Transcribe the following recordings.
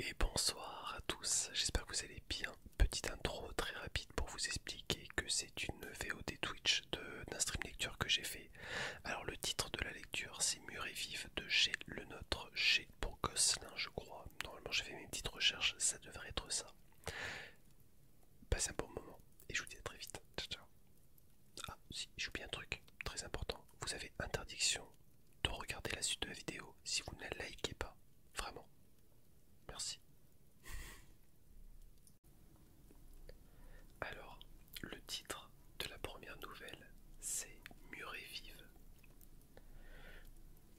Et bonsoir à tous, j'espère que vous allez bien. Petite intro très rapide pour vous expliquer que c'est une VOD Twitch d'un stream lecture que j'ai fait. Alors le titre de la lecture c'est Mur et de chez Le Nôtre, chez pour je crois. Normalement j'ai fait mes petites recherches, ça devrait être ça. Passez un bon moment et je vous dis à très vite. Ah si, j'oublie un truc très important. Vous avez interdiction de regarder la suite de la vidéo si vous ne la likez pas. Vraiment. Merci. Alors, le titre de la première nouvelle, c'est Murée vive.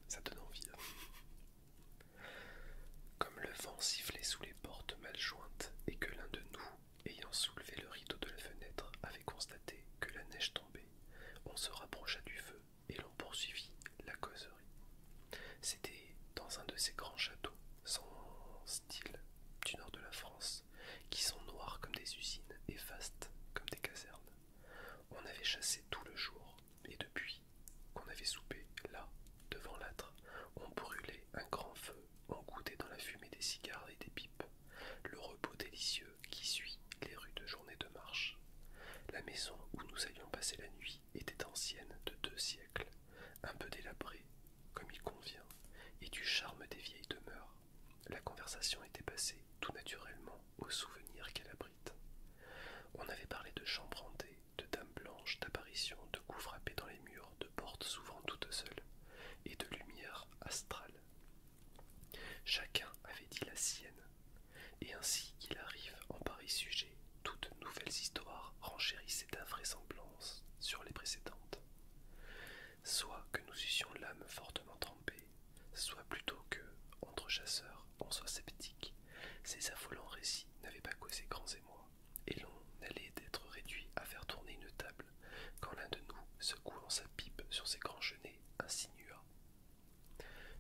Ça donne envie. Hein. Comme le vent sifflait sous les portes mal jointes et que l'un de nous, ayant soulevé le rideau de la fenêtre, avait constaté que la neige tombait on se rapprocha du feu et l'on poursuivit la causerie. C'était dans un de ces grands châteaux, sans style, du nord de la France, qui sont noirs comme des usines et vastes comme des casernes. On avait chassé tout le jour, et depuis qu'on avait soupé, là, devant l'âtre, on brûlait un grand feu, on goûtait dans la fumée des cigares et des pipes. Le repos délicieux qui suit les rues de journée de marche. La maison où nous allions passer la nuit était ancienne de deux siècles, un peu délabrée, comme il convient, et du charme des vieilles demeures. La conversation était passée tout naturellement aux souvenirs qu'elle abrite. On avait parlé de chambres hantées, de dames blanches, d'apparitions, de coups frappés dans les murs, de portes souvent toutes seules, et de lumière astrales. Chacun avait dit la sienne, et ainsi qu'il arrive en pareil sujet, toutes nouvelles histoires renchérissaient d'invraisemblances sur les précédentes. Soit que nous eussions l'âme fortement trempée, soit plutôt que, entre chasseurs, on soit sceptique, ces affolants récits n'avaient pas causé grands émois, et l'on allait d'être réduit à faire tourner une table quand l'un de nous, secouant sa pipe sur ses grands genêts, insinua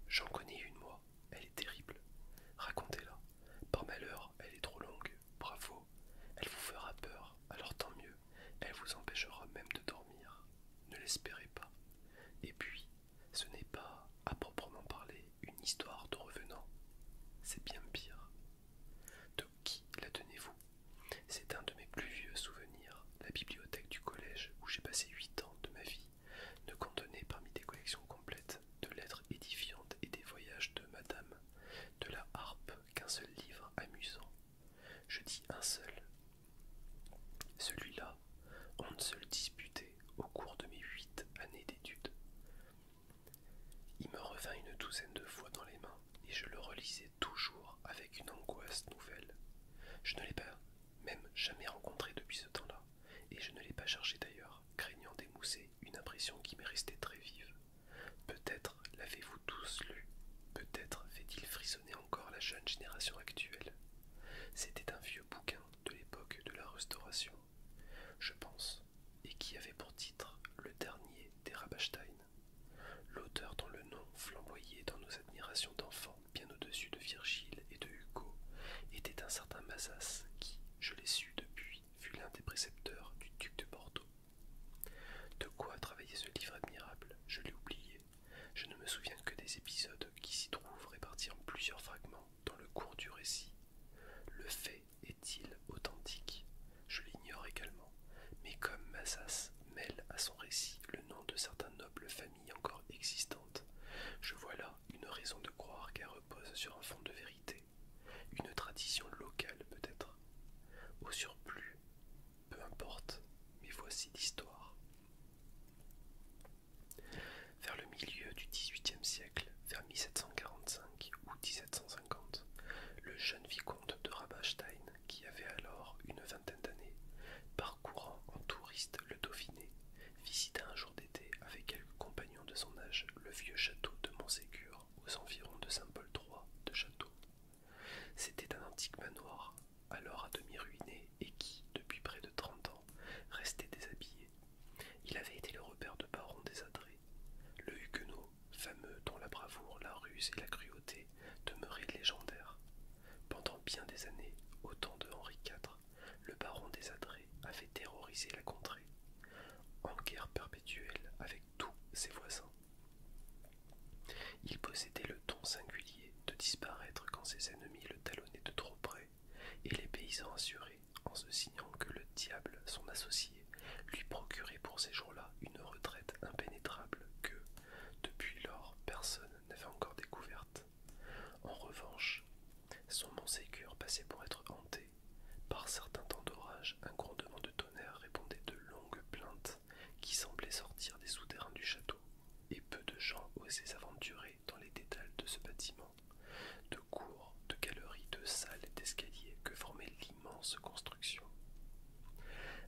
J'en connais une, moi. Elle est terrible. Racontez-la. Par malheur, elle est trop longue. Bravo. Elle vous fera peur. Alors tant mieux. Elle vous empêchera même de dormir. Ne l'espérez pas. Et puis, ce n'est pas, à proprement parler, une histoire de revenant. C'est bien pire. De qui la tenez-vous C'est un de mes plus vieux souvenirs la bibliothèque du collège où j'ai passé huit ans de ma vie ne contenait parmi des collections complètes de lettres édifiantes et des voyages de madame, de la harpe qu'un seul livre amusant. Je dis un seul. Celui-là, on ne se le disputait au cours de mes huit années d'études. Il me revint une douzaine de fois dans les mains et je le relisais toujours avec une angoisse nouvelle. Je ne l'ai pas même jamais rencontré depuis ce temps-là, et je ne l'ai pas cherché d'ailleurs, craignant d'émousser une impression qui m'est restée très vive. Peut-être l'avez-vous tous lu, peut-être fait-il frissonner encore la jeune génération actuelle. C'était un vieux bouquin de l'époque de la Restauration, je pense, et qui avait pour titre Le dernier des rabasteins L'auteur dont le nom flamboyait dans nos admirations d'enfants bien au-dessus de Virgile et de Hugo, était un certain Mazas qui, je l'ai su depuis, fut l'un des précepteurs du duc de Bordeaux. De quoi travailler ce livre admirable, je l'ai oublié. Je ne me souviens que des épisodes qui s'y trouvent répartis en plusieurs fragments dans le cours du récit. Le fait est-il authentique Je l'ignore également, mais comme Mazas mêle à son récit le nom de certains nobles familles, encore existante, je vois là une raison de croire qu'elle repose sur un fond de vérité, une tradition locale peut-être. Au surplus, peu importe, mais voici l'histoire. Vers le milieu du XVIIIe siècle, vers 1745 ou 1750, le jeune vicomte de rabastein qui avait alors une vingtaine d'années, parcourant en touriste le Dauphiné, visita un jour d'été avec quelques compagnons de son âge le vieux château de Montségur aux environs de Saint-Paul III de Château. C'était un antique manoir, alors à demi ruiné et qui, depuis près de trente ans, restait déshabillé. Il avait été le repère de barons désadrés. Le huguenot, fameux dont la bravoure, la ruse et la cruauté demeuraient légendaires, pendant bien des années, au temps de Henri IV, le baron des Adrets avait terrorisé la contrée, en guerre perpétuelle avec tous ses voisins. Il possédait le ton singulier de disparaître quand ses ennemis le talonnaient de trop près, et les paysans assurés, en se signant que le diable, son associé, lui procurait pour ces jours-là une retraite impénétrable que, depuis lors, personne n'avait encore découverte. En revanche, son mont passait pour être hanté. Par certains temps d'orage, un grondement de tonnerre répondait de longues plaintes qui semblaient sortir des souterrains du château, et peu de gens osaient s'aventurer dans les détails de ce bâtiment, de cours, de galeries, de salles et d'escaliers que formait l'immense construction.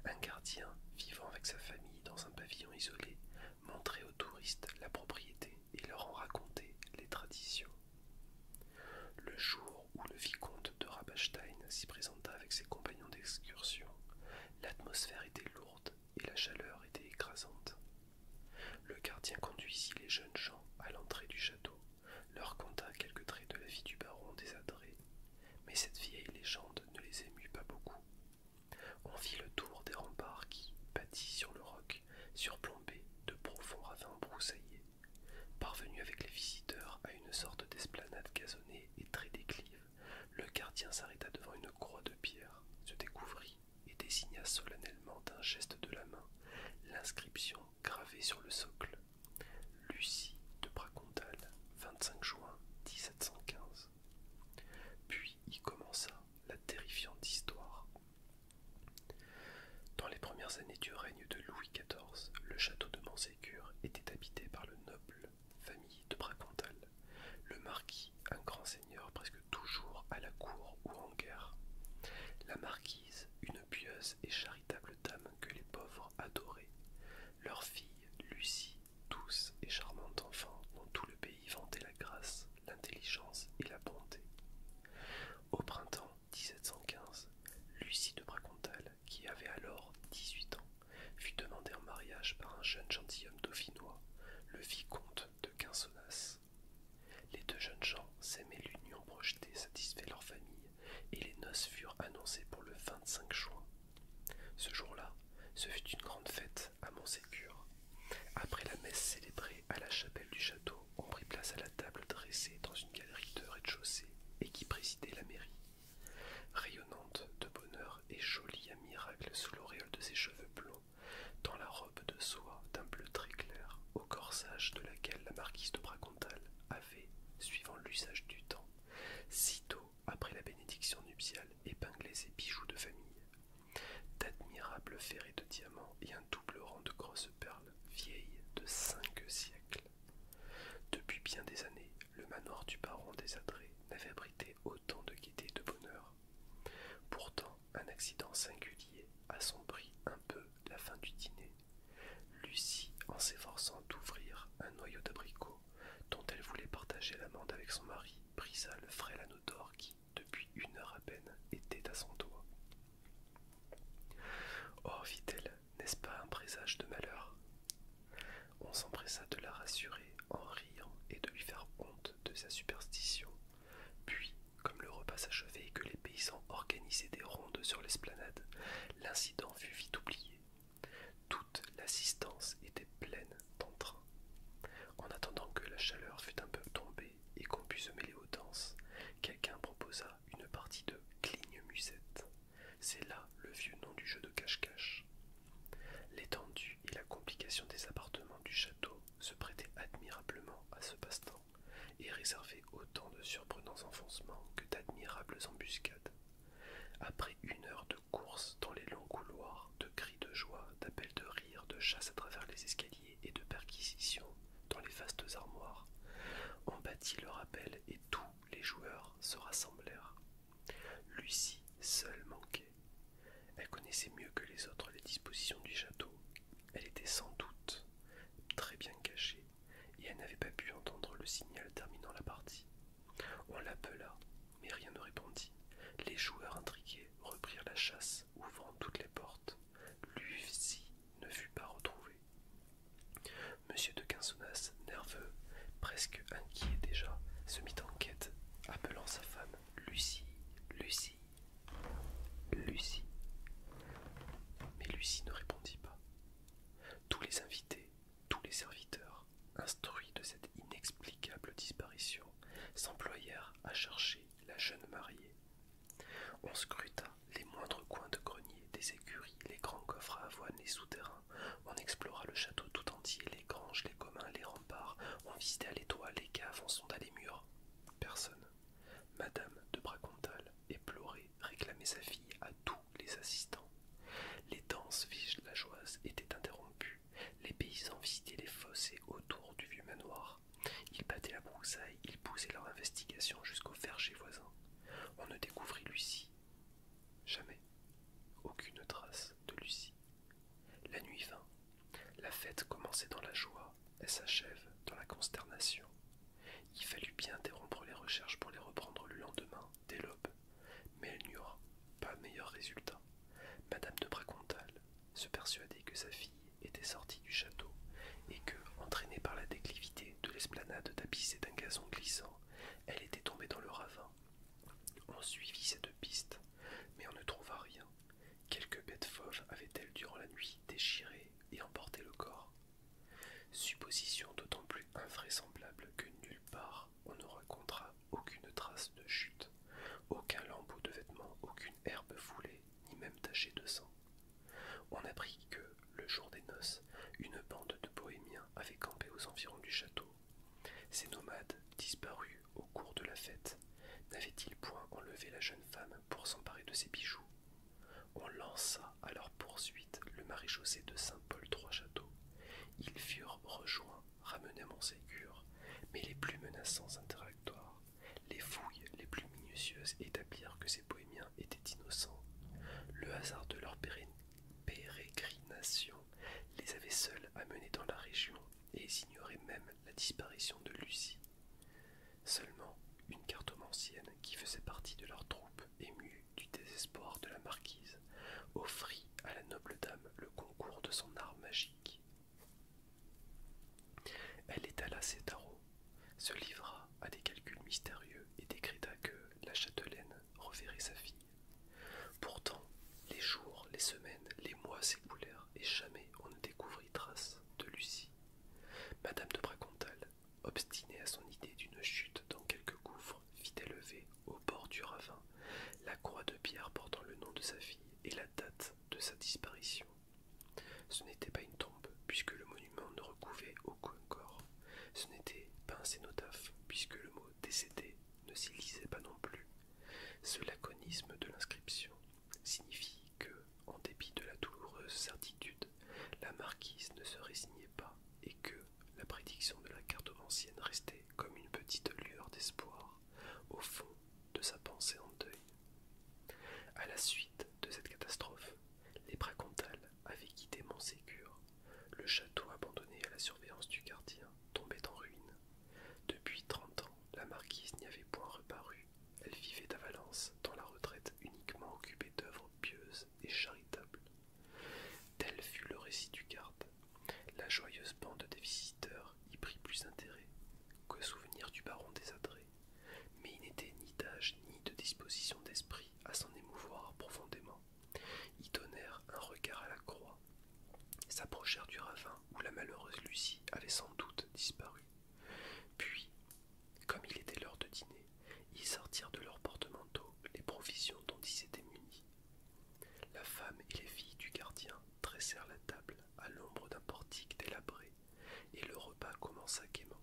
Un gardien, vivant avec sa famille dans un pavillon isolé, montrer aux touristes la propriété et leur en raconter les traditions. Le jour où le vicomte de Rabastein s'y présenta avec ses compagnons d'excursion, l'atmosphère était lourde et la chaleur était écrasante. Le gardien conduisit les jeunes gens à l'entrée du château, leur conta quelques traits de la vie du baron des mais cette vieille légende ne les émut pas beaucoup on vit le tour des remparts qui, bâtis sur le roc, surplombaient de profonds ravins broussaillés, parvenu avec les visiteurs à une sorte d'esplanade gazonnée et très déclive. Le gardien s'arrêta devant une croix de pierre, se découvrit et désigna solennellement d'un geste de la main l'inscription gravée sur le socle. Lucie de Bracontal, 25 juin 1715. Puis y commença la terrifiante histoire. Dans les premières années du règne de Louis XIV, le château de Montségur était habité par le noble famille de Bracontal, le marquis, un grand seigneur presque toujours à la cour ou en guerre. La marquise, une pieuse et charitable dame que les pauvres adoraient. Leur fille, Lucie, Douce et charmante enfant dont tout le pays vantait la grâce, l'intelligence et la bonté. Au printemps 1715, Lucie de Bracontal, qui avait alors 18 ans, fut demandée en mariage par un jeune gentilhomme dauphinois, le vicomte de Quinsonas. Les deux jeunes gens s'aimaient l'union projetée satisfait leur famille, et les noces furent annoncées pour le 25 juin. Ce jour-là, ce fut une grande fête après la messe célébrée à la chapelle du château, on prit place à la table dressée dans une galerie de rez-de-chaussée et qui présidait la mairie. Rayonnante de bonheur et jolie à miracle sous l'auréole de ses cheveux blonds, dans la robe de soie d'un bleu très clair, au corsage de laquelle la marquise de Bracontal avait, suivant l'usage du temps, sitôt après la bénédiction nuptiale, épinglait ses bijoux de famille. D'admirables ferrets de diamants et un double rang de grosses perles vieilles de cinq siècles. Depuis bien des années, le manoir du baron des Adrets n'avait abrité autant de gaieté et de bonheur. Pourtant, un accident singulier assombrit un peu la fin du dîner. Lucie, en s'efforçant d'ouvrir un noyau d'abricot dont elle voulait partager l'amende avec son mari, brisa le frêle d'or qui, depuis une heure à peine, était à son toit. Or, oh, vit elle n'est-ce pas un présage de malheur On s'empressa de la rassurer en riant et de lui faire honte de sa superstition. Puis, comme le repas s'achevait et que les paysans organisaient des rondes sur l'esplanade, l'incident fut vite oublié. Toute l'assistance était pleine en attendant que la chaleur fût un peu tombée et qu'on pût se mêler aux danses, quelqu'un proposa une partie de cligne-musette. C'est là le vieux nom du jeu de cache-cache. L'étendue et la complication des appartements du château se prêtaient admirablement à ce passe-temps et réservaient autant de surprenants enfoncements que d'admirables embuscades. Après une heure de courses dans les longs couloirs, de cris de joie, d'appels de rire, de chasse à travers les escaliers et de perquisitions dans les vastes armoires. On battit leur appel et tous les joueurs se rassemblèrent. Lucie seule manquait. Elle connaissait mieux que les autres les dispositions du château. Elle était sans doute très bien cachée et elle n'avait pas pu entendre le signal terminant la partie. On l'appela, mais rien ne répondit. Les joueurs intrigués reprirent la chasse, ouvrant toutes les portes. Lucie ne fut pas retrouvée. Monsieur de Quinsonas, nerveux, presque inquiet déjà, se mit en quête, appelant sa femme Lucie, Lucie, Lucie. Mais Lucie ne répondit pas. Tous les invités, tous les serviteurs, instruits de cette inexplicable disparition, s'employèrent à chercher la jeune mariée. On scruta les moindres coins de grenier, des écuries, les grands coffres à avoine, les souterrains. On explora le château tout entier, les granges, les communs, les remparts. On visita les toits, les caves, on sonda les murs. Personne. Madame de Bracontal, éplorée, réclamait sa fille à tous les assistants. Les danses vigilageoises étaient interrompues. Les paysans visitaient les fossés autour du vieux manoir. Ils battaient la broussaille, ils poussaient leur investigation jusqu'au verger voisin. On ne découvrit Lucie. Jamais. Aucune trace de Lucie. La nuit vint. La fête commençait dans la joie, elle s'achève dans la consternation. Il fallut bien interrompre les recherches pour les reprendre le lendemain, dès l'aube, mais elles n'y pas meilleur résultat. Madame de Bracontal se persuadait que sa fille était sortie du château et que, entraînée par la déclivité de l'esplanade tapissée d'un gazon glissant, elle était tombée dans le ravin. On suivit cette piste, mais on ne trouva rien. Quelques bêtes fauves avaient-elles durant la nuit déchiré et emporté le corps Supposition d'autant plus invraisemblable que nulle part on ne racontera aucune trace de chute, aucun lambeau de vêtements, aucune herbe foulée, ni même tachée de sang. On apprit que, le jour des noces, une bande de bohémiens avait campé aux environs du château. Ces nomades, disparus au cours de la fête, n'avaient-ils point enlevé la jeune femme pour s'emparer de ses bijoux On lança à leur poursuite le maréchaussée de Saint-Paul-Trois-Châteaux. Ils furent rejoints ramenaient sécure, mais les plus menaçants interactoires. Les fouilles les plus minutieuses établirent que ces bohémiens étaient innocents. Le hasard de leur pérégrination les avait seuls amenés dans la région et ils ignoraient même la disparition de Lucie. Seulement, une cartomancienne qui faisait partie de leur troupe, émue du désespoir de la marquise, offrit à la noble dame le concours de son art magique. Elle étala ses tarots, se livra à des calculs mystérieux et décréta que la châtelaine reverrait sa fille. Pourtant, les jours, les semaines, les mois s'écoulèrent et jamais on ne découvrit trace de Lucie. Madame de Bracontal, obstinée à son idée d'une chute dans quelque gouffre, fit élever, au bord du ravin, la croix de pierre portant le nom de sa fille et la date de sa disparition. Ce n'était pas une tombe, puisque le monument ne recouvait aucun corps. Ce n'était pas un cénotaphe, puisque le mot décédé ne s'y lisait pas non plus. Ce laconisme de l'inscription signifie que, en dépit de la douloureuse certitude, la marquise ne se résignait pas et que la prédiction de la carte ancienne restait comme une petite lueur d'espoir au fond de sa pensée en deuil. À la suite de cette catastrophe, les Bracontales avaient quitté Montségur, le château abandonné à la surveillance du gardien tombait en ruine. Depuis trente ans, la marquise n'y avait point reparu. Elle vivait à Valence, dans la retraite uniquement occupée d'œuvres pieuses et charitables. Tel fut le récit du garde, la joyeuse bande des visiteurs y prit plus intérêt que souvenir du baron désadré. mais il n'était ni d'âge ni de disposition d'esprit à s'en émouvoir profondément. Ils donnèrent un regard à la croix, s'approchèrent du ravin où la malheureuse Lucie avait sans doute disparu. Puis, comme il était l'heure de dîner, ils sortirent de leurs porte-manteau les provisions dont ils étaient munis. La femme et les filles du gardien tressèrent la table à l'ombre d'un portique délabré, et le repas commença gaiement.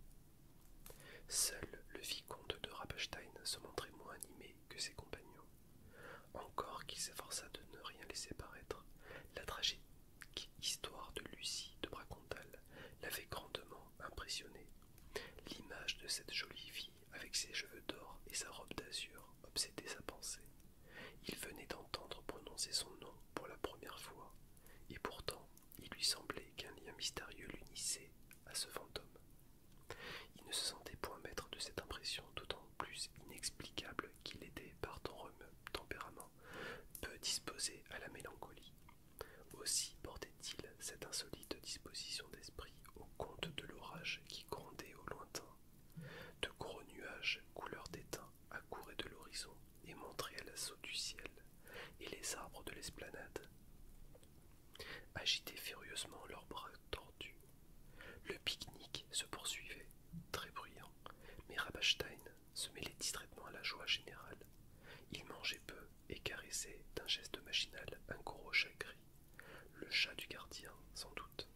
Seul le vicomte de Rappestein se montrait moins animé que ses compagnons. Encore qu'il s'efforça de ne rien laisser paraître, la tragique histoire de Lucie de Bracontal l'avait grandement impressionné. L'image de cette jolie fille avec ses cheveux d'or et sa robe d'azur obsédait sa pensée. Il venait d'entendre prononcer son nom pour la première fois, et pourtant il lui semblait qu'un lien mystérieux l'unissait à ce fantôme. Il ne se sentait point maître de cette impression, d'autant plus inexplicable qu'il était, par ton tempérament, peu disposé à la mélancolie. Aussi portait-il cette insolite disposition d'esprit au compte de l'orage qui grondait au lointain. De gros nuages couleur d'étain à de l'horizon et montré à l'assaut du ciel et les arbres de l'esplanade. Agitaient furieusement leurs bras tordus. Le pique-nique se poursuivait, très bruyant, mais Rabastein se mêlait distraitement à la joie générale. Il mangeait peu et caressait d'un geste machinal un gros chat gris, le chat du gardien, sans doute.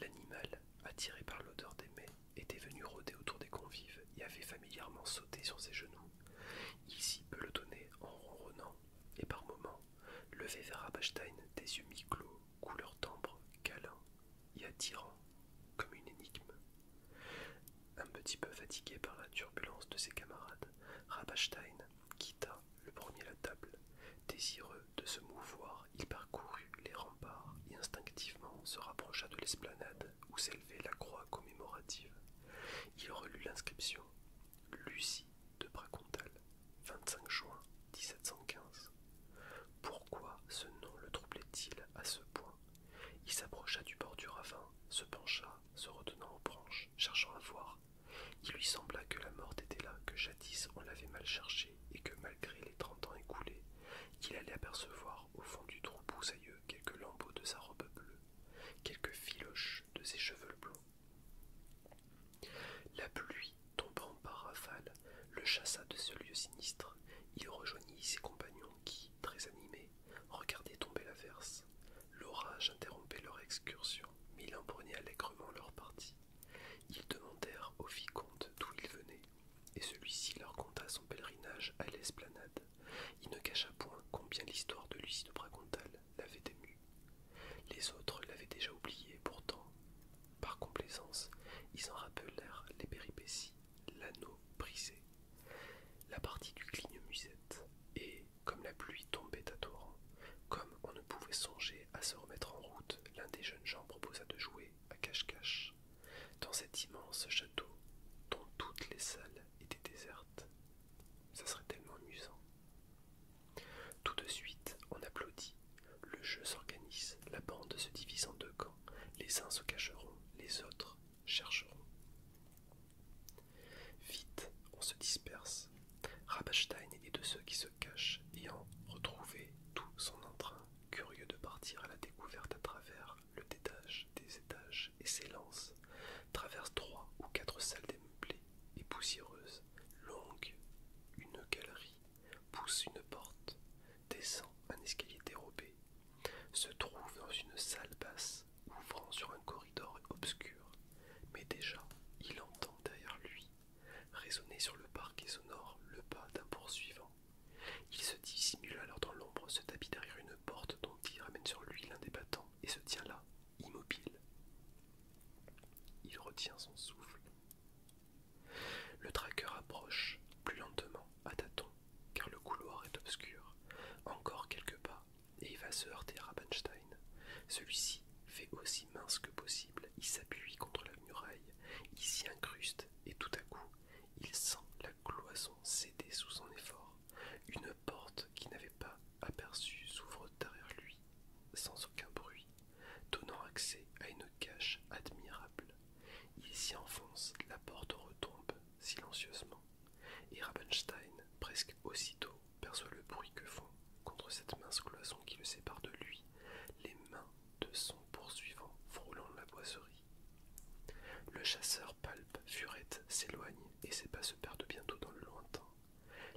L'animal, attiré par l'odeur des mets, était venu rôder autour des convives et avait familièrement sauté sur ses genoux. Il s'y pelotonnait en ronronnant, et par moments, levé vers Rabastein des yeux mi-clos, couleur d'ambre, câlin et attirant, comme une énigme. Un petit peu fatigué par la turbulence de ses camarades, Rabachstein quitta le premier la table, désireux de se mouvoir, il parcourut les remparts et instinctivement se rapprocha de l'esplanade où s'élevait la croix commémorative. Il relut l'inscription Lucie de Bracontal, 25 juin 1715. Pourquoi ce nom le troublait-il à ce point Il s'approcha du bord du ravin, se pencha, se retenant aux branches, cherchant à voir. Il lui sembla que la morte était là, que jadis on l'avait mal cherché et que malgré les trente ans écoulés, il allait apercevoir au fond du trou broussailleux quelques lambeaux de sa robe bleue, quelques filoches de ses cheveux blonds. La pluie, tombant par rafales, le chassa de ce lieu sinistre. Il rejoignit ses compagnons qui, très animés, regardaient tomber l'averse. L'orage interrompait leur excursion, mais il embrunait allègrement leur partie. Ils demandèrent au vicomte d'où il venait, et celui-ci leur conta son pèlerinage à l'esplanade. Il ne cacha point combien l'histoire de Lucie de Bracontal l'avait ému. Les autres l'avaient déjà oublié, pourtant, par complaisance, ils en rappelèrent les péripéties, l'anneau brisé, la partie du cligne-musette, et, comme la pluie tombait à torrent, comme on ne pouvait songer à se remettre en route, l'un des jeunes gens proposa de jouer à cache-cache dans cet immense château dont toutes les salles étaient désertes. Ça serait tellement amusant. Tout de suite, on applaudit. Le jeu s'organise, la bande se divise en deux camps. Les uns se cacheront, les autres chercheront. Vite, on se disperse. Rabastein est de ceux qui se cachent ayant retrouvé tout son entrain curieux de partir à la découverte à travers le détage des étages et s'élance, traverse trois ou quatre salles démeublées et poussiéreuses, longue, une galerie, pousse une porte, descend un escalier dérobé, se trouve dans une salle basse ouvrant sur un corridor obscur, mais déjà il entend derrière lui résonner sur le parquet sonore le pas d'un poursuivant il se dissimule alors dans l'ombre, se tapit derrière une porte dont il ramène sur lui l'un des battants et se tient là, immobile. Il retient son souffle. Le traqueur approche, plus lentement, à tâtons, car le couloir est obscur. Encore quelques pas, et il va se heurter à Rabenstein. Celui-ci fait aussi mince que possible, il s'appuie contre la muraille, il s'y incruste et tout à coup, il sent la cloison céder sous son effort. Une porte qu'il n'avait pas aperçue s'ouvre derrière lui, sans aucun bruit, donnant accès à une cache admirable. Il s'y enfonce, la porte retombe silencieusement, et Rabenstein, presque aussitôt, perçoit le bruit que font, contre cette mince cloison qui le sépare de lui, les mains de son poursuivant frôlant la boiserie. Le chasseur palpe, furette, s'éloigne et ses pas se perdent bientôt dans le lointain.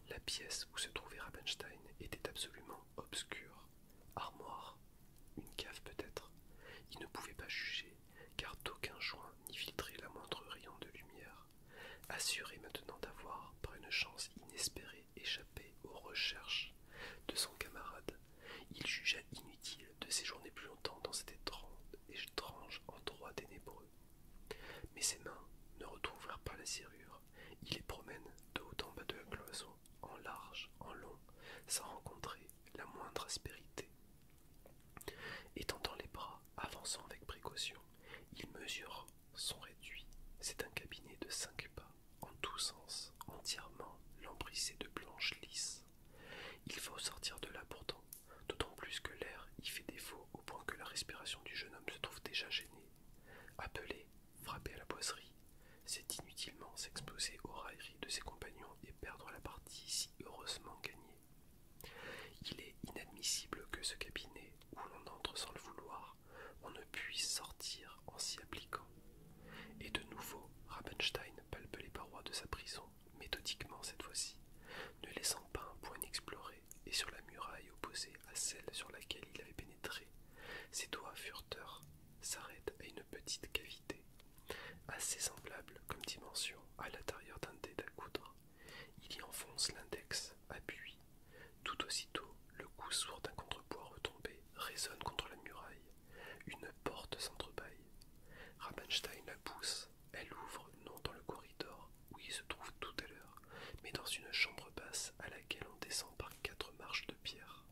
La pièce où se trouvait Rabenstein était absolument obscure. Armoire, une cave peut-être. Il ne pouvait pas juger, car d'aucun joint n'y filtrait la moindre rayon de lumière. Assuré maintenant d'avoir, par une chance inespérée, échappé aux recherches de son camarade, il jugea inutile de séjourner plus longtemps dans cet étrange endroit ténébreux. Mais ses mains ne retrouvèrent pas la serrure. Il les promène de haut en bas de la cloison, en large, en long, sans rencontrer la moindre aspérité. Étendant les bras, avançant avec précaution, il mesure son réduit. C'est un cabinet de cinq pas en tous sens, entièrement lambrissé de planches lisses. Il faut sortir de là pourtant, d'autant plus que l'air y fait défaut au point que la respiration du jeune homme se trouve déjà gênée. Appeler, frapper à la boiserie, c'est inutilement s'exposer aux railleries de ses compagnons et perdre la partie si heureusement gagnée. Il est inadmissible que ce cabinet, où l'on entre sans le vouloir, on ne puisse sortir en s'y appliquant. Et de nouveau, Rabenstein palpe les parois de sa prison, méthodiquement cette fois-ci, ne laissant pas un point inexploré, et sur la muraille opposée à celle sur laquelle il avait pénétré, ses doigts furteurs s'arrêtent à une petite cavité, assez semblable comme dimension à l'intérieur d'un dé à coudre. Il y enfonce l'index, appuie. Tout aussitôt, le coup sourd d'un contrepoids retombé résonne contre la muraille, une porte s'entrebâille. Rabenstein la pousse. Elle ouvre non dans le corridor où il se trouve tout à l'heure, mais dans une chambre basse à laquelle on descend par quatre marches de pierre.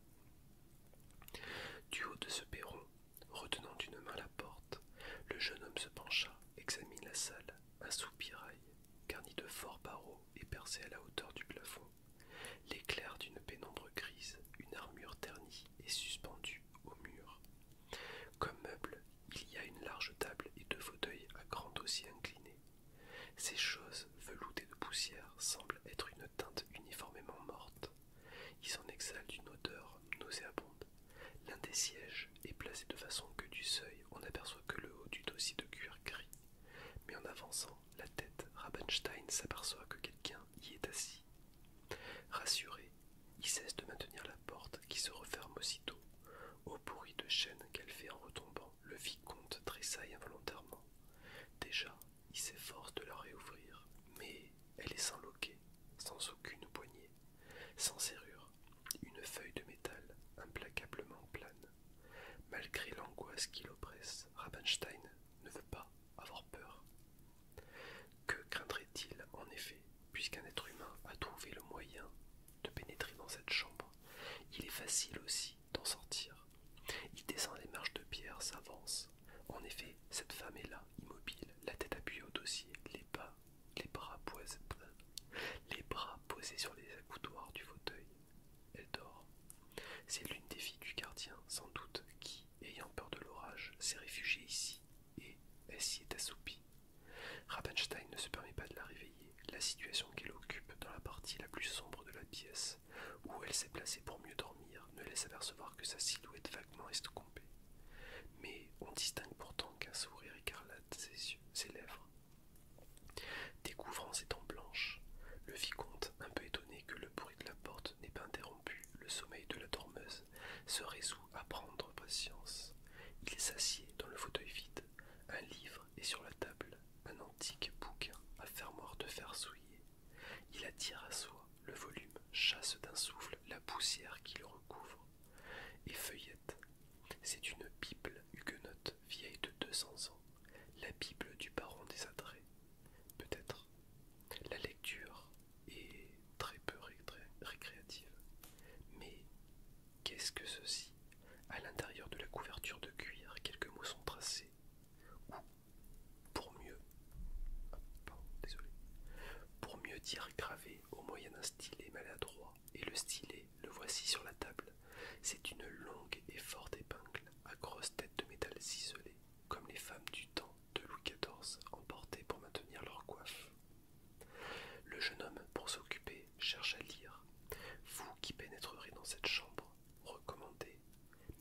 Du haut de ce perron, retenant d'une main la porte, le jeune homme se pencha, examine la salle, un soupirail, garni de forts barreaux et percé à la hauteur du plafond. L'éclair d'une pénombre grise, une armure ternie est suspendue au mur. Comme meuble, il y a une large table et deux fauteuils à grand dossier incliné. Ces choses, veloutées de poussière, semblent être une teinte uniformément morte. Ils en exhalent une odeur nauséabonde. L'un des sièges est placé de façon que du seuil on n'aperçoit que le haut du dossier de cuir gris. Mais en avançant la tête, Rabenstein s'aperçoit que quelqu'un y est assis. Rassuré, il cesse de maintenir la porte qui se referme aussitôt. Au bruit de chaîne qu'elle fait en retombant, le vicomte tressaille involontairement. Déjà, il s'efforce de la réouvrir, mais elle est sans loquet, sans aucune poignée, sans serrure, une feuille de métal implacablement plane. Malgré l'angoisse qui l'oppresse, Rabenstein ne veut pas avoir peur. Que craindrait-il en effet, puisqu'un être humain a trouvé le moyen de pénétrer dans cette chambre Il est facile aussi d'en sortir. Il descend les marches de pierre, s'avance. En effet, cette femme est là, immobile, la tête appuyée au dossier, les, pas les, bras, posés, les bras posés sur les accoudoirs du fauteuil. Elle dort. C'est l'une des filles du gardien, sans doute, qui, ayant peur de l'orage, s'est réfugiée ici, et elle s'y est assoupie. Rappenstein ne se permet pas de la réveiller, la situation qu'elle occupe dans la partie la plus sombre de la pièce, où elle s'est placée pour mieux dormir, ne laisse apercevoir que sa silhouette vaguement estompée. Mais on distingue pourtant qu'un sourire écarlate ses, yeux, ses lèvres. Découvrant ses dents blanches, le vicomte, un peu étonné que le bruit de la porte n'est pas interrompu le sommeil de la dormeuse, se résout à prendre patience. Il s'assied dans le fauteuil vide. Un livre est sur la table, un antique bouquin à fermoir de fer souillé. Il attire à soi le volume, chasse d'un souffle la poussière qui le recouvre et feuillette. C'est une Bible huguenote vieille de 200 ans, la Bible du baron des Peut-être la lecture est très peu récréative. Mais qu'est-ce que ceci À l'intérieur de la couverture de cuir, quelques mots sont tracés. Ou, pour mieux, ah, pour mieux dire gravés au moyen d'un stylet maladroit. Et le stylet, le voici sur la table. C'est une longue et forte épingle à grosse tête de métal ciselé, comme les femmes du temps de Louis XIV emporté pour maintenir leur coiffe. Le jeune homme, pour s'occuper, cherche à lire. Vous qui pénétrerez dans cette chambre, recommandez.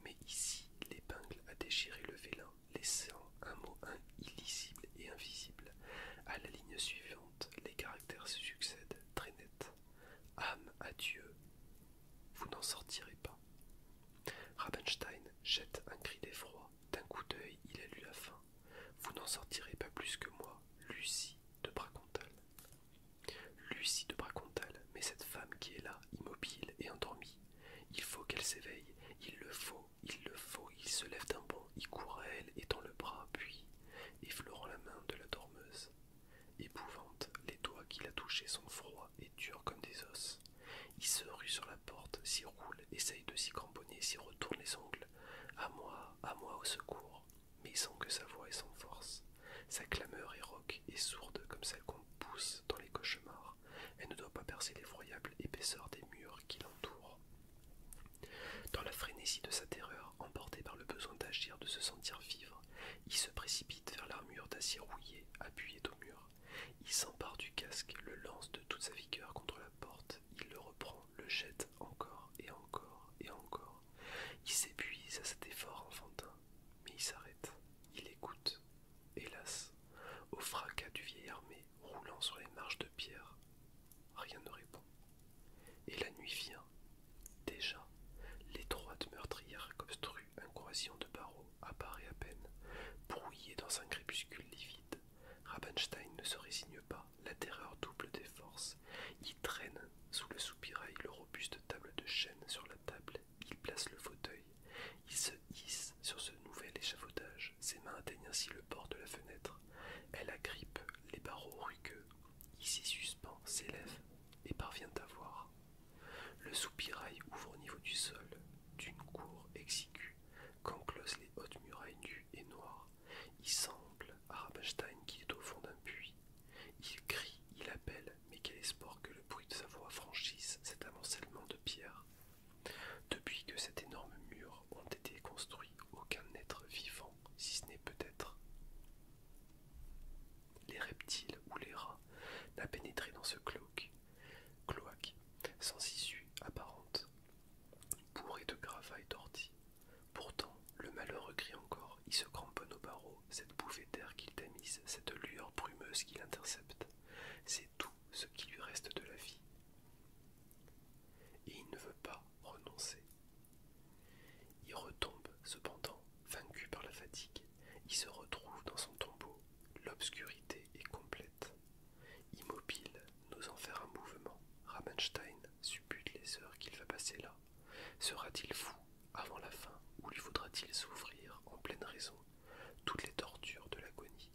Mais ici, l'épingle a déchiré le vélin, laissant un mot illisible et invisible. À la ligne suivante, les caractères se succèdent, très net. « Âme à Dieu, vous n'en sortirez pas. Rabenstein jette un cri d'effroi. D'un coup d'œil, il a lu la fin. Vous n'en sortirez pas plus que moi, Lucie de Bracontal. Lucie de Bracontal, mais cette femme qui est là, immobile et endormie. Il faut qu'elle s'éveille, il le faut, il le faut, il se lève d'un bond, il court à elle, étend le bras, puis, effleurant la main de la dormeuse. Épouvante, les doigts qu'il a touchés sont froids et durs comme des os. Il se rue sur la porte, s'y roule, essaye de s'y cramponner, s'y retourne les ongles. À moi, à moi, au secours. Mais sans que sa voix est sans force. Sa clameur est rauque et sourde comme celle qu'on pousse dans les cauchemars. Elle ne doit pas percer l'effroyable épaisseur des murs qui l'entourent. Dans la frénésie de sa terreur, emportée par le besoin d'agir, de se sentir vivre, il se précipite vers l'armure d'acier rouillé, appuyé au mur. Il s'empare du casque, le lance de toute sa vigueur contre la porte, il le reprend, le jette encore et encore et encore. Il s'épuise à cet effort enfantin, mais il s'arrête, il écoute. Hélas, au fracas du vieil armé roulant sur les marches de pierre, rien ne répond. Et la nuit vient. Déjà, l'étroite meurtrière obstrue un croisillon de barreaux apparaît à peine, brouillé dans un crépuscule livide. Rabenstein ne se résigne pas, la terreur double des forces. Il traîne sous le soupirail le robuste table de chêne sur la table, il place le fauteuil, il se hisse sur ce nouvel échafaudage, ses mains atteignent ainsi le bord de la fenêtre, elle agrippe les barreaux rugueux, s'y suspend, s'élève et parvient à voir, le soupirail ouvre au niveau du sol, d'une cour exiguë, qu'enclosent les hautes murailles nues et noires. Il semble à Rabenstein qu'il est au fond d'un puits. Il crie, il appelle, mais quel espoir que le bruit de sa voix franchisse cet amoncellement de pierres. Depuis que cet énorme mur ont été construits, aucun être vivant, si ce n'est peut-être les reptiles ou les rats, n'a pénétré dans ce cloque Cloaque, sans issue apparente, bourré de gravats et d'orties. Pourtant, le malheureux crie encore, il se cramponne aux barreaux, cette bouffée d'air qu'il tamise, cette lueur brumeuse qu'il intercepte. C'est tout ce qui lui reste de la vie. Et il ne veut pas renoncer. Il retombe, cependant, vaincu par la fatigue. Il se retrouve dans son tombeau, l'obscurité est complète. Immobile, n'osant faire un mouvement, Ramenstein suppute les heures qu'il va passer là. Sera-t-il fou avant la fin ou lui faudra-t-il souffrir en pleine raison toutes les tortures de l'agonie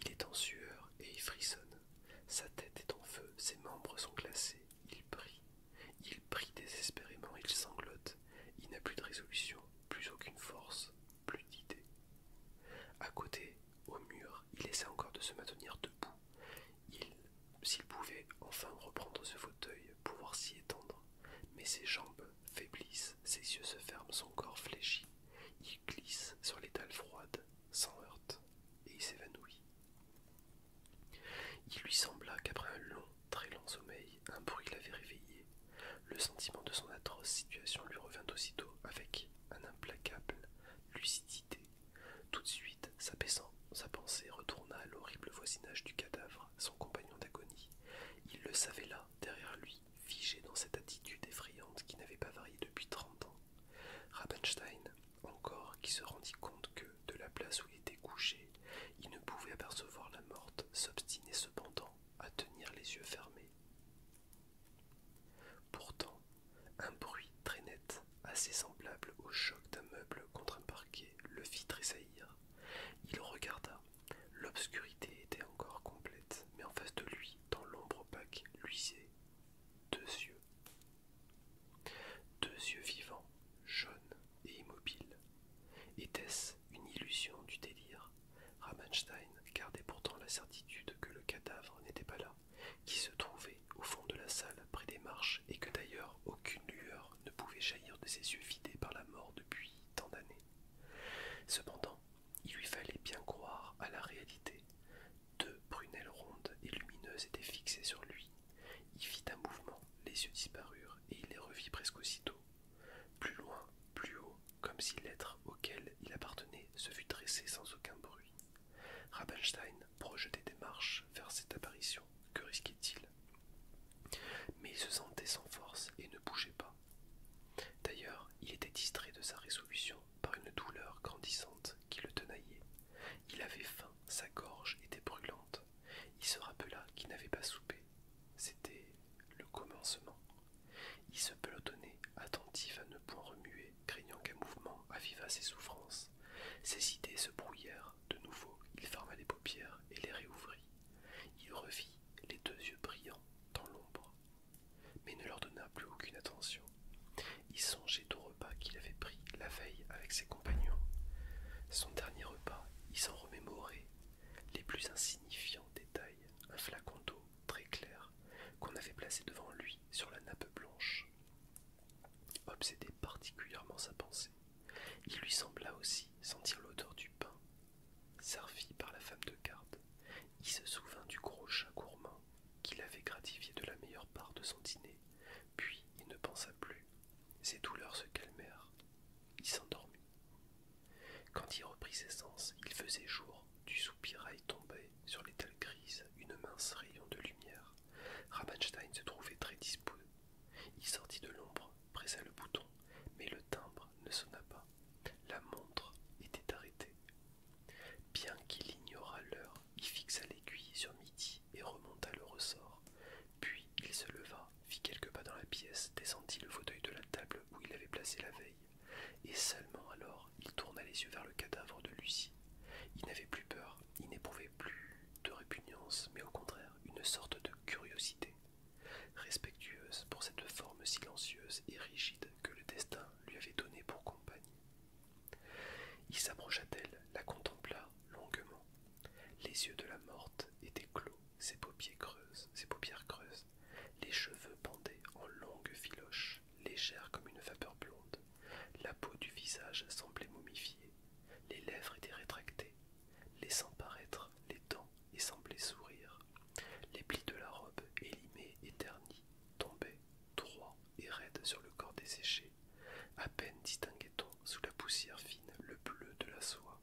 Il est en sueur et il frissonne. Sa tête est en feu, ses membres sont glacés, il prie. Il prie désespérément, il sanglote. Il n'a plus de résolution, plus aucune force, plus d'idées. À côté, au mur, il essaie encore de se maintenir debout. Il, s'il pouvait enfin reprendre ce fauteuil, pouvoir s'y étendre, mais ses jambes faiblissent, ses yeux se ferment, son corps fléchit. Il glisse sur l'étal froide, sans heurte, et il s'évanouit. Il lui sembla qu'après un long, très long sommeil, un bruit l'avait réveillé. Le sentiment de son atroce situation lui revint aussitôt avec un implacable lucidité. Tout de suite, s'apaissant, sa pensée retourna à l'horrible voisinage du cadavre, son compagnon d'agonie. Il le savait là, derrière lui, figé dans cette attitude effrayante qui n'avait pas varié depuis trente ans. Rabenstein, encore, qui se rendit compte que, de la place où il était couché, il ne pouvait apercevoir la morte, s'obstinait cependant à tenir les yeux fermés. Pourtant, un bruit très net, assez semblable au choc d'un meuble contre un parquet, le fit tressaillir. Il regarda. L'obscurité était encore complète, mais en face de lui, dans l'ombre opaque, luisaient deux yeux. Deux yeux vivants, jaunes et immobiles, était-ce une illusion du délire Rammstein gardait pourtant la certitude que le cadavre n'était pas là, qui se trouvait au fond de la salle près des marches et que d'ailleurs aucune lueur ne pouvait jaillir de ses yeux vidés par la mort depuis tant d'années. Cependant, il lui fallait bien croire à la réalité. Deux prunelles rondes et lumineuses étaient fixées sur lui. Il fit un mouvement, les yeux disparurent et il les revit presque aussitôt. Plus loin, plus haut, comme si l'être auquel il appartenait se fût dressé sans aucun bruit. Rabenstein projetait des marches vers cette apparition. Que risquait-il Mais il se sentait sans force et ne bougeait pas. D'ailleurs, il était distrait de sa résolution par une douleur grandissante qui le tenaillait. Il avait faim, sa gorge était brûlante. Il se rappela qu'il n'avait pas soupé. C'était le commencement. Il se pelotonnait, attentif à ne point remuer, craignant qu'un mouvement avivât ses souffrances. Ses idées se brouillèrent. De nouveau, il ferma les paupières et les réouvrit. Il revit les deux yeux brillants dans l'ombre, mais ne leur donna plus aucune attention. Il songeait au repas qu'il avait pris la veille avec ses compagnons. Son dernier repas, il s'en remémorait, les plus insignifiants détails un flacon d'eau très clair qu'on avait placé devant lui sur la nappe blanche. Obsédait particulièrement sa pensée. Il lui sembla aussi sentir l'odeur du pain, servi par la femme de garde. Il se souvint du gros chat gourmand qu'il avait gratifié de la meilleure part de son dîner, puis il ne pensa plus. Ses douleurs se calmèrent. Il s'endormit. Quand il reprit ses sens, il faisait jour, du soupirail tombait sur l'étale grise une mince rayon de lumière. Rabenstein se trouvait très disposé. Il sortit de l'ombre, pressa le bouton, mais le timbre ne sonna pas. La montre était arrêtée. Bien qu'il ignorât l'heure, il fixa l'aiguille sur midi et remonta le ressort. Puis il se leva, fit quelques pas dans la pièce, descendit le fauteuil de la table où il avait placé la veille et seulement alors il tourna les yeux vers le cadavre de Lucie. Il n'avait plus peur, il n'éprouvait plus de répugnance, mais au contraire une sorte de curiosité, respectueuse pour cette forme silencieuse et rigide que le destin lui avait donnée pour compagnie. Il s'approcha d'elle, la contempla longuement. Les yeux de la morte étaient clos, ses paupières creuses, ses paupières creuses les cheveux pendaient en longues filoches, légères comme une vapeur blonde. La peau du visage semblait momifiée. Les lèvres étaient rétractées, laissant paraître les dents et semblait sourire. Les plis de la robe, élimés et ternis, tombaient, droits et raides sur le corps desséché. À peine distinguait-on sous la poussière fine le bleu de la soie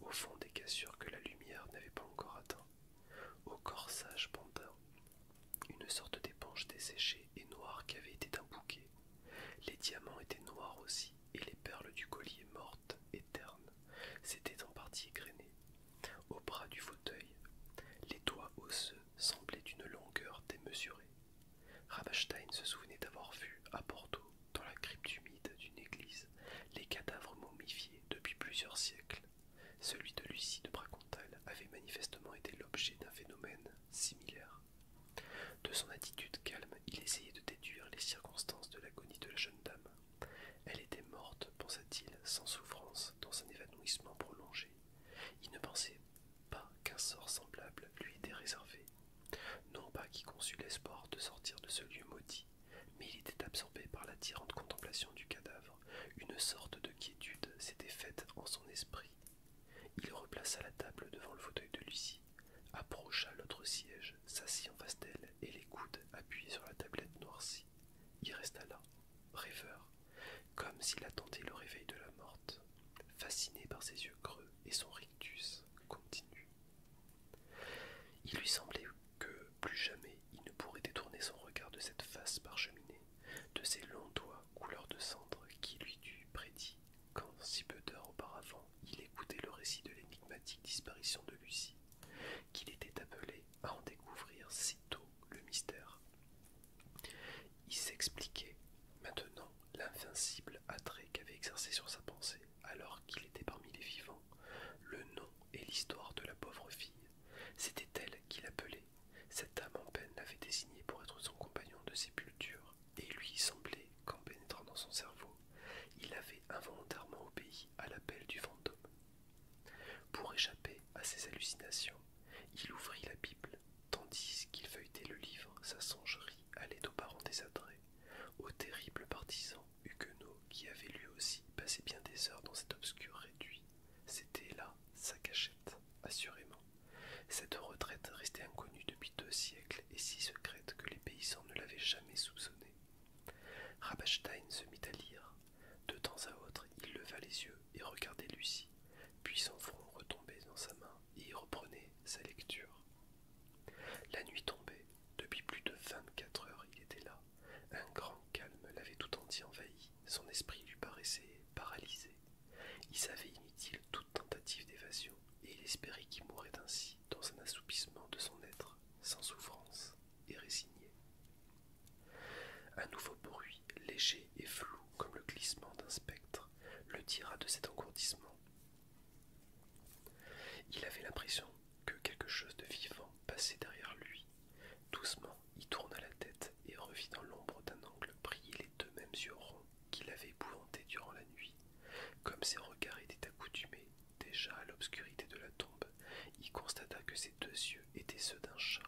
au fond des cassures que la lumière n'avait pas encore atteint au corsage pendant une sorte d'épanche desséchée et noire qui avait été un bouquet. Les diamants étaient noirs aussi, et les perles du collier mortes et ternes s'étaient en partie égrenées. Au bras du fauteuil, les doigts osseux semblaient d'une longueur démesurée. Ravastein se souvenait d'avoir vu, à Bordeaux, dans la crypte humide d'une église, les cadavres momifiés depuis plusieurs siècles. Celui de Lucie de Bracontal avait manifestement été l'objet d'un phénomène similaire. De son attitude calme, il essayait de déduire les circonstances de l'agonie de la jeune dame. Elle était morte, pensa-t-il, sans souffrance, dans un évanouissement prolongé. Il ne pensait pas qu'un sort semblable lui était réservé. Non pas qu'il conçût l'espoir de sortir de ce lieu maudit, mais il était absorbé par l'attirante contemplation du cadavre. Une sorte de quiétude s'était faite en son esprit. Il replaça la table devant le fauteuil de Lucie, approcha l'autre siège, s'assit en face d'elle et les coudes appuyés sur la tablette noircie. Il resta là, rêveur, comme s'il attendait le réveil de la morte, fasciné par ses yeux creux et son rictus continu. Il lui semblait que plus jamais il ne pourrait détourner son regard de cette face parcheminée, de ces longs doigts couleur de cendre qui lui dut prédit quand, si peu d'heures auparavant, il écoutait le récit de l'énigmatique disparition de Lucie, qu'il était appelé à en découvrir si tôt le mystère. Il s'expliquait maintenant l'invincible attrait qu'avait exercé sur sa pensée, alors qu'il était parmi les vivants, le nom et l'histoire de la pauvre fille. C'était elle qui l'appelait. Cette âme en peine l'avait désignée pour être son compagnon de sépulture, et lui semblait qu'en pénétrant dans son cerveau, il avait involontairement obéi à l'appel du fantôme. Pour échapper à ses hallucinations, il ouvrit la Bible, tandis qu'il feuilletait le livre, sa songerie allait aux parents désattrait, aux terribles partisans huguenot qui avait lui aussi passé bien des heures dans cet obscur réduit. C'était là sa cachette, assurément. Cette retraite restait inconnue depuis deux siècles et si secrète que les paysans ne l'avaient jamais soupçonnée. Rabachstein se mit à lire. De temps à autre, il leva les yeux et regardait Lucie, puis son front retombait dans sa main et il reprenait sa lecture. La nuit tombait. Depuis plus de vingt-quatre heures, il était là, un grand calme l'avait tout entier envahi, son esprit lui paraissait paralysé. Il savait inutile toute tentative d'évasion, et il espérait qu'il mourrait ainsi, dans un assoupissement de son être, sans souffrance et résigné. Un nouveau bruit, léger et flou comme le glissement d'un spectre, le tira de cet engourdissement. Il avait l'impression que quelque chose de vivant passait derrière lui. Doucement, il tourna la tête et revit dans l'ombre d'un angle briller les deux mêmes yeux ronds qui l'avaient épouvanté durant la nuit. Comme ses regards étaient accoutumés déjà à l'obscurité de la tombe, il constata que ces deux yeux étaient ceux d'un chat,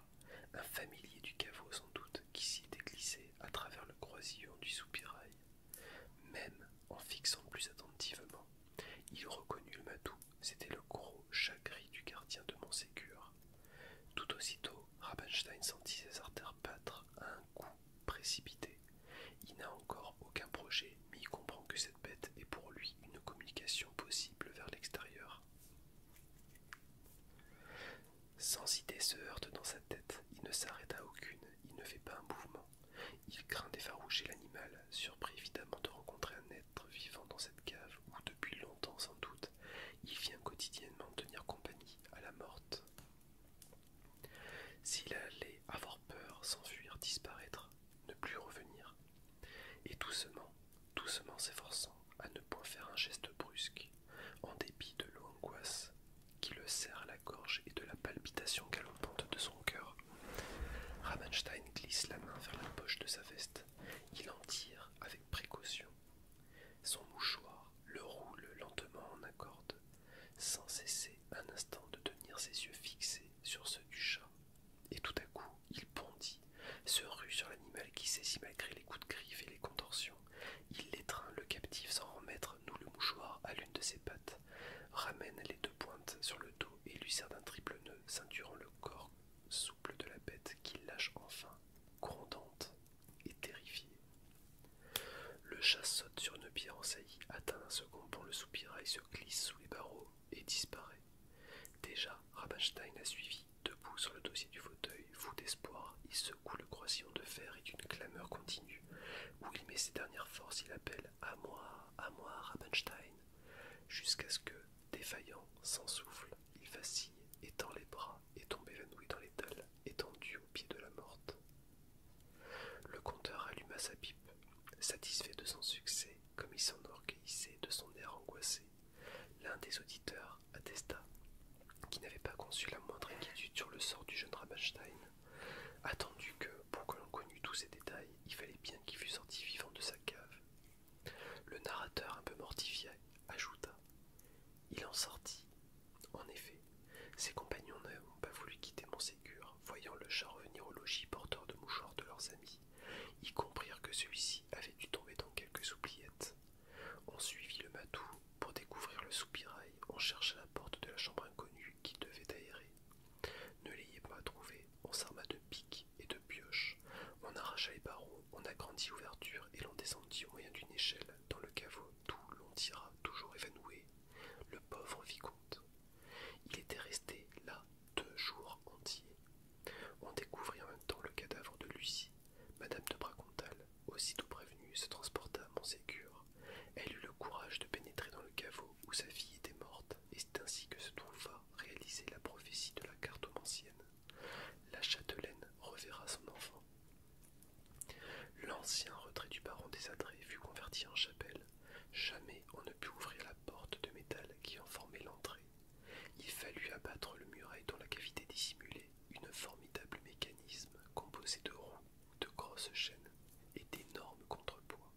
un familier du caveau sans doute qui s'y était glissé à travers le croisillon du soupirail. Même en fixant plus attentivement il reconnut le matou, c'était le gros chat du gardien de Montségur. Tout aussitôt, Rabenstein sentit ses artères battre à un coup précipité. Il n'a encore aucun projet, mais il comprend que cette bête est pour lui une communication possible vers l'extérieur. Sans idée se heurte dans sa tête, il ne s'arrête à aucune, il ne fait pas un mouvement. Il craint d'effaroucher l'animal, surpris évidemment de rencontrer un être vivant dans cette cave où depuis longtemps sans doute il vient quotidiennement tenir compagnie à la morte. S'il allait avoir peur, s'enfuir, disparaître, ne plus revenir, et doucement, doucement s'efforçant à ne point faire un geste brusque, en dépit de l'angoisse qui le serre à la gorge et de la palpitation galopante de son cœur, Ramenstein glisse la main vers la poche de sa veste. Il en tire avec précaution. Son mouchoir le roule lentement en accorde, sans cesser un instant de tenir ses yeux fixés sur ceux du chat. Et tout à coup, il bondit, se rue sur l'animal qui saisit malgré les coups de griffe et les contorsions. Il l'étreint, le captif sans remettre, nous le mouchoir à l'une de ses pattes, ramène les deux pointes sur le dos et lui sert d'un triple nœud ceinturant le corps souple de la bête qu'il lâche enfin, grondante et terrifiée. Le chat saute sur une pierre en saillie, atteint un second pour le soupirail se glisse sous les barreaux et disparaît. Déjà, Rabenstein a suivi, debout sur le dossier du fauteuil, fou d'espoir, il secoue le croisillon de fer et d'une clameur continue. Où il met ses dernières forces, il appelle À moi, à moi, Rabenstein, jusqu'à ce que, Défaillant, sans souffle, il vacille, étend les bras et tombe évanoui dans l'étal, étendu au pied de la morte. Le conteur alluma sa pipe, satisfait de son succès, comme il s'enorgueillissait de son air angoissé. L'un des auditeurs attesta qui n'avait pas conçu la moindre inquiétude sur le sort du jeune Rabenstein, attendu que, pour que l'on connût tous ces détails, il fallait bien qu'il fût sorti vivant de sa cave, le narrateur, un peu mortifié, ajouta Il en sortit. En effet, ses compagnons n'ont pas voulu quitter Montségur. Voyant le chat revenir au logis porteur de mouchoirs de leurs amis, ils comprirent que celui-ci avait dû tomber dans quelques soupliettes. On suivit le matou pour découvrir le soupirail. On chercha la porte de la chambre inconnue qui devait aérer. Ne l'ayez pas trouvée, on s'arma de pique et de pioche. On arracha les barreaux, on agrandit l'ouverture et l'on descendit au moyen d'une échelle dans le caveau d'où l'on tira, toujours évanoui, le pauvre vicomte. Il était resté là deux jours entiers. On découvrit en même temps le cadavre de Lucie. Madame de Bracontal, aussitôt prévenue, se transporta en Montségur. Elle eut le courage de pénétrer dans le caveau où sa fille était morte c'est ainsi que se trouva réalisée la prophétie de la ancienne. La châtelaine reverra son enfant. L'ancien retrait du baron des fut converti en chapelle. Jamais on ne put ouvrir la porte de métal qui en formait l'entrée. Il fallut abattre le muraille dont la cavité dissimulait une formidable mécanisme composé de roues, de grosses chaînes et d'énormes contrepoids.